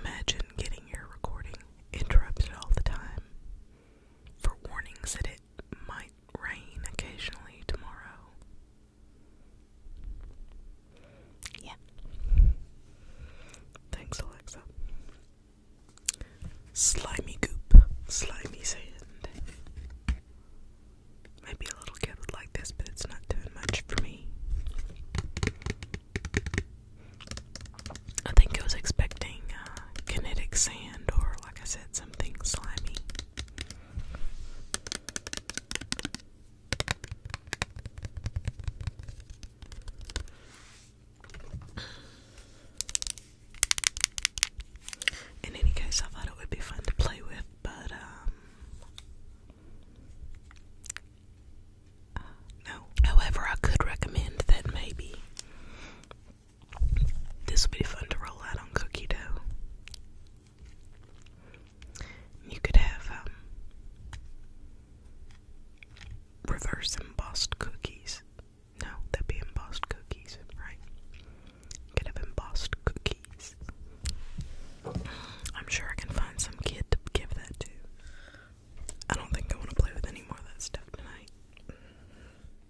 Imagine getting your recording interrupted all the time for warnings that might rain occasionally tomorrow. Yeah. Thanks, Alexa. Slimy goop, slimy sand. Maybe a little kid would like this, but it's not doing much for me. I think I was expecting uh, kinetic sand or, like I said, something In any case, I thought it would be fun to play with, but um, no. However, I could recommend that maybe this would be fun to roll out on cookie dough. You could have um, reverse embossed cookies. No, that'd be embossed cookies, right? could have embossed cookies. I'm sure I can find some kid to give that to. I don't think I want to play with any more of that stuff tonight.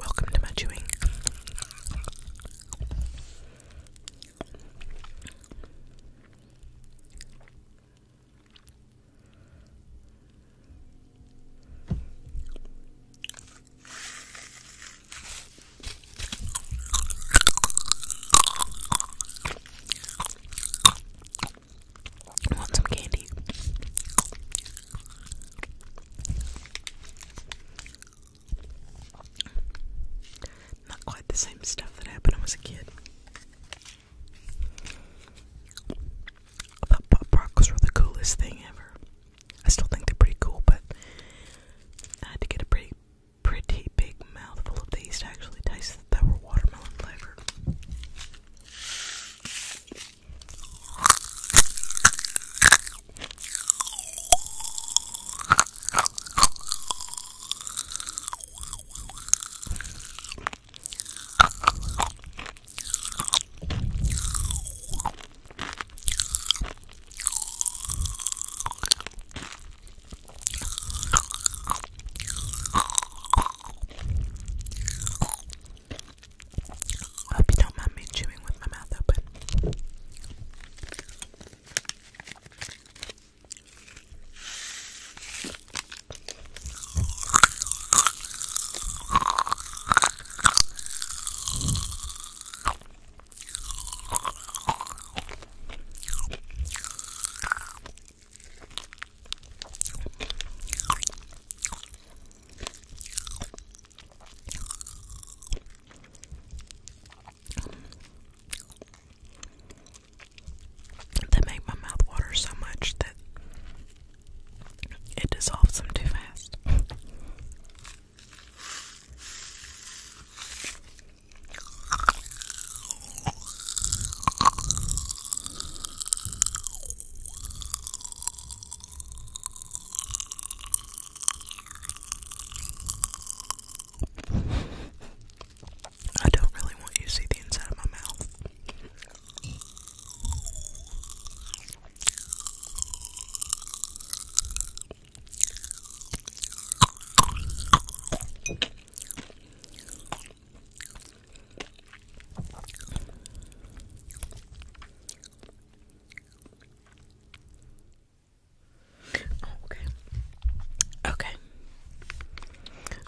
Welcome to my chewing want some candy. Not quite the same stuff that happened when I was a kid. I pop rock was the coolest thing ever. I still think they're pretty cool, but I had to get a pretty, pretty big mouthful of these to actually taste that were watermelon flavored. I hope you don't mind me chewing with my mouth open. They make my mouth water so much that it dissolves them too fast. I don't really want you to see the inside of my mouth okay. Okay.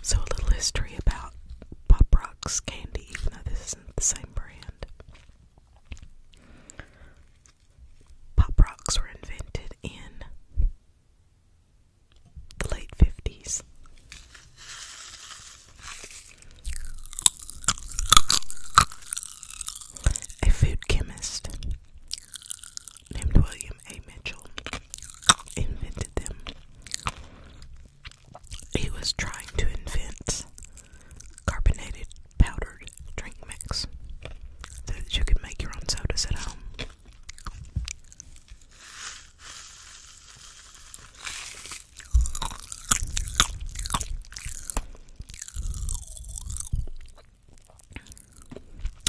So a little history about Pop Rocks candy, even though this isn't the same brand. Pop rocks were invented in the late 50s. A food chemist named William A. Mitchell invented them. He was trying to invent carbonated powdered drink mix so that you could make your own sodas at home.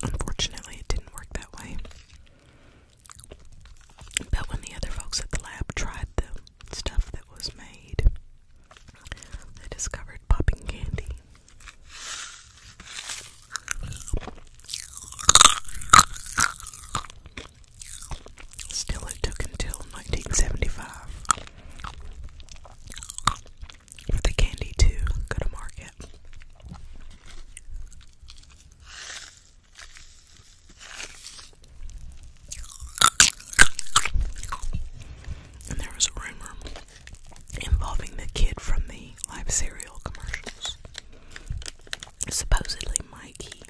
Unfortunately, it didn't work that way. But when the other folks at the lab tried the stuff was made. They discovered popping candy. Still, it took until 1975 for the candy to go to market. And there was a rumor involving the kid from the live cereal commercials. Supposedly, Mikey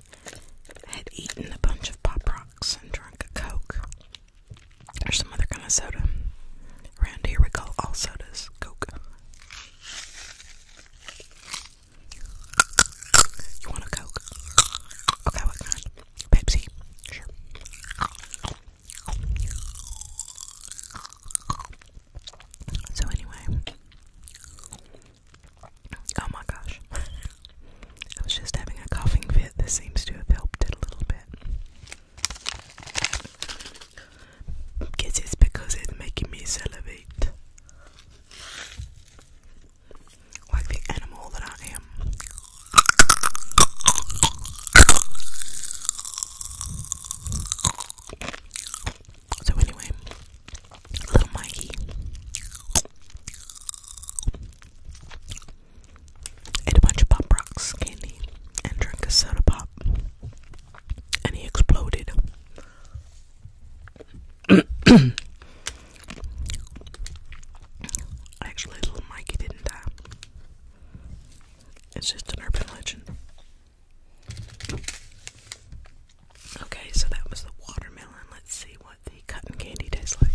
had eaten a bunch of Pop Rocks and drank a Coke or some other kind of soda. Around here, all sodas Coke. You want a Coke? Okay, what kind? Pepsi? Sure. So anyway, oh my gosh, I was just having a coughing fit. This seems to have helped it a little bit. Guess it's because it's making me salivate like the animal that I am. So anyway, little Mikey. Ate a bunch of Pop Rocks candy and drank a soda pop. And he exploded. Actually, little Mikey didn't die. It's just an urban legend. Okay, so that was the watermelon. Let's see what the cotton candy tastes like.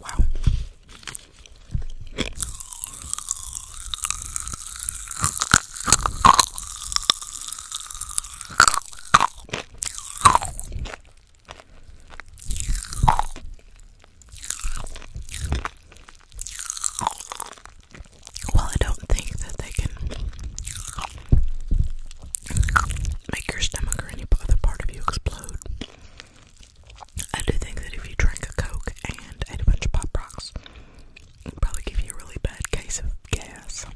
Wow. Well, I don't think that they can make your stomach or any other part of you explode. I do think that if you drink a Coke and eat a bunch of Pop Rocks, it'd probably give you a really bad case of gas.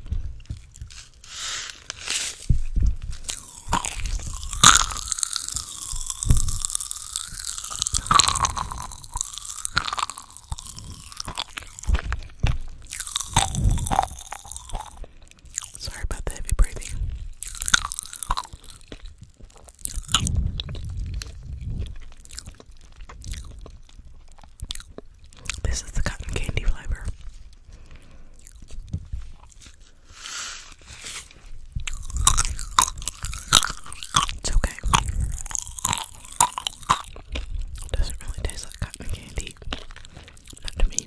Sorry about the heavy breathing. This is the cotton candy flavor. It's okay. Doesn't really taste like cotton candy. Not to me.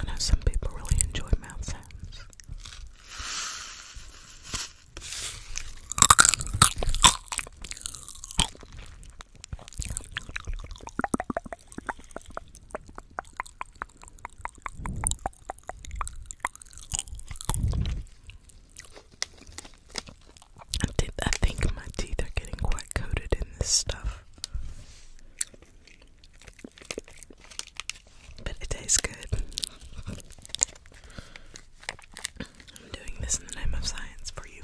I know some people really enjoy mouth sounds. I, think my teeth are getting quite coated in this stuff. But it tastes good. I'm doing this in the name of science for you.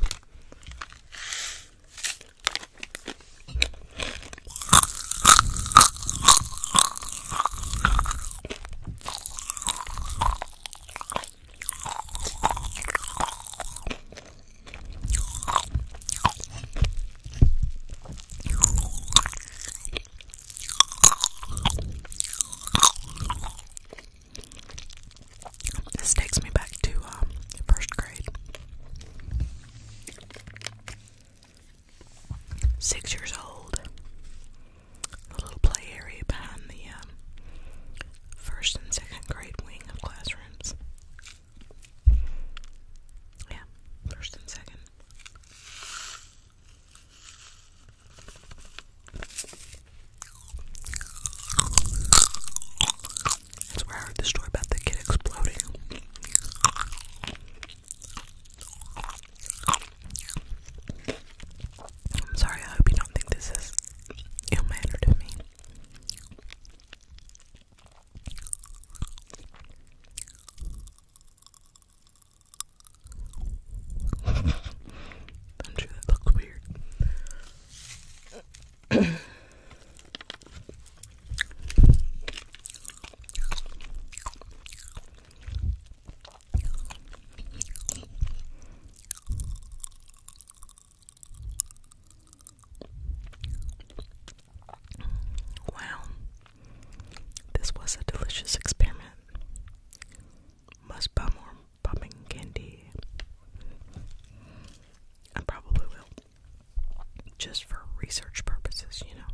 This takes me back to um, first grade. Six years old. The little play area behind the um, first and second grade wing of classrooms. Yeah, first and second. That's where I heard the story about the kid exploding. I'm sorry, I hope you don't think this is ill mannered of me. I'm sure that looks weird. Wow, this was a delicious experiment. Must buy more popping candy. I probably will. Just for research purposes, you know.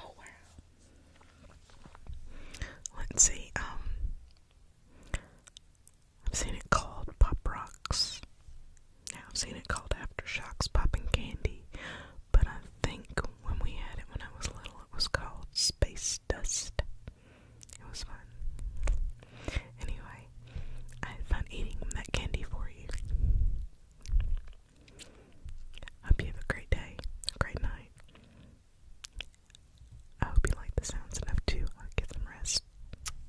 Oh wow. Let's see, um I've seen it called Pop Rocks. Now I've seen it called Aftershocks Popping Candy, but I think when we had it when I was little, it was called Space Dust. It was fun. Anyway, I had fun eating that candy for you. Hope you have a great day, a great night, I hope you like the sounds enough to uh, get some rest.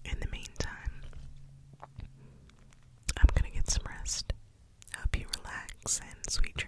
In the meantime, I'm gonna get some rest. Hope you relax and sweet dreams.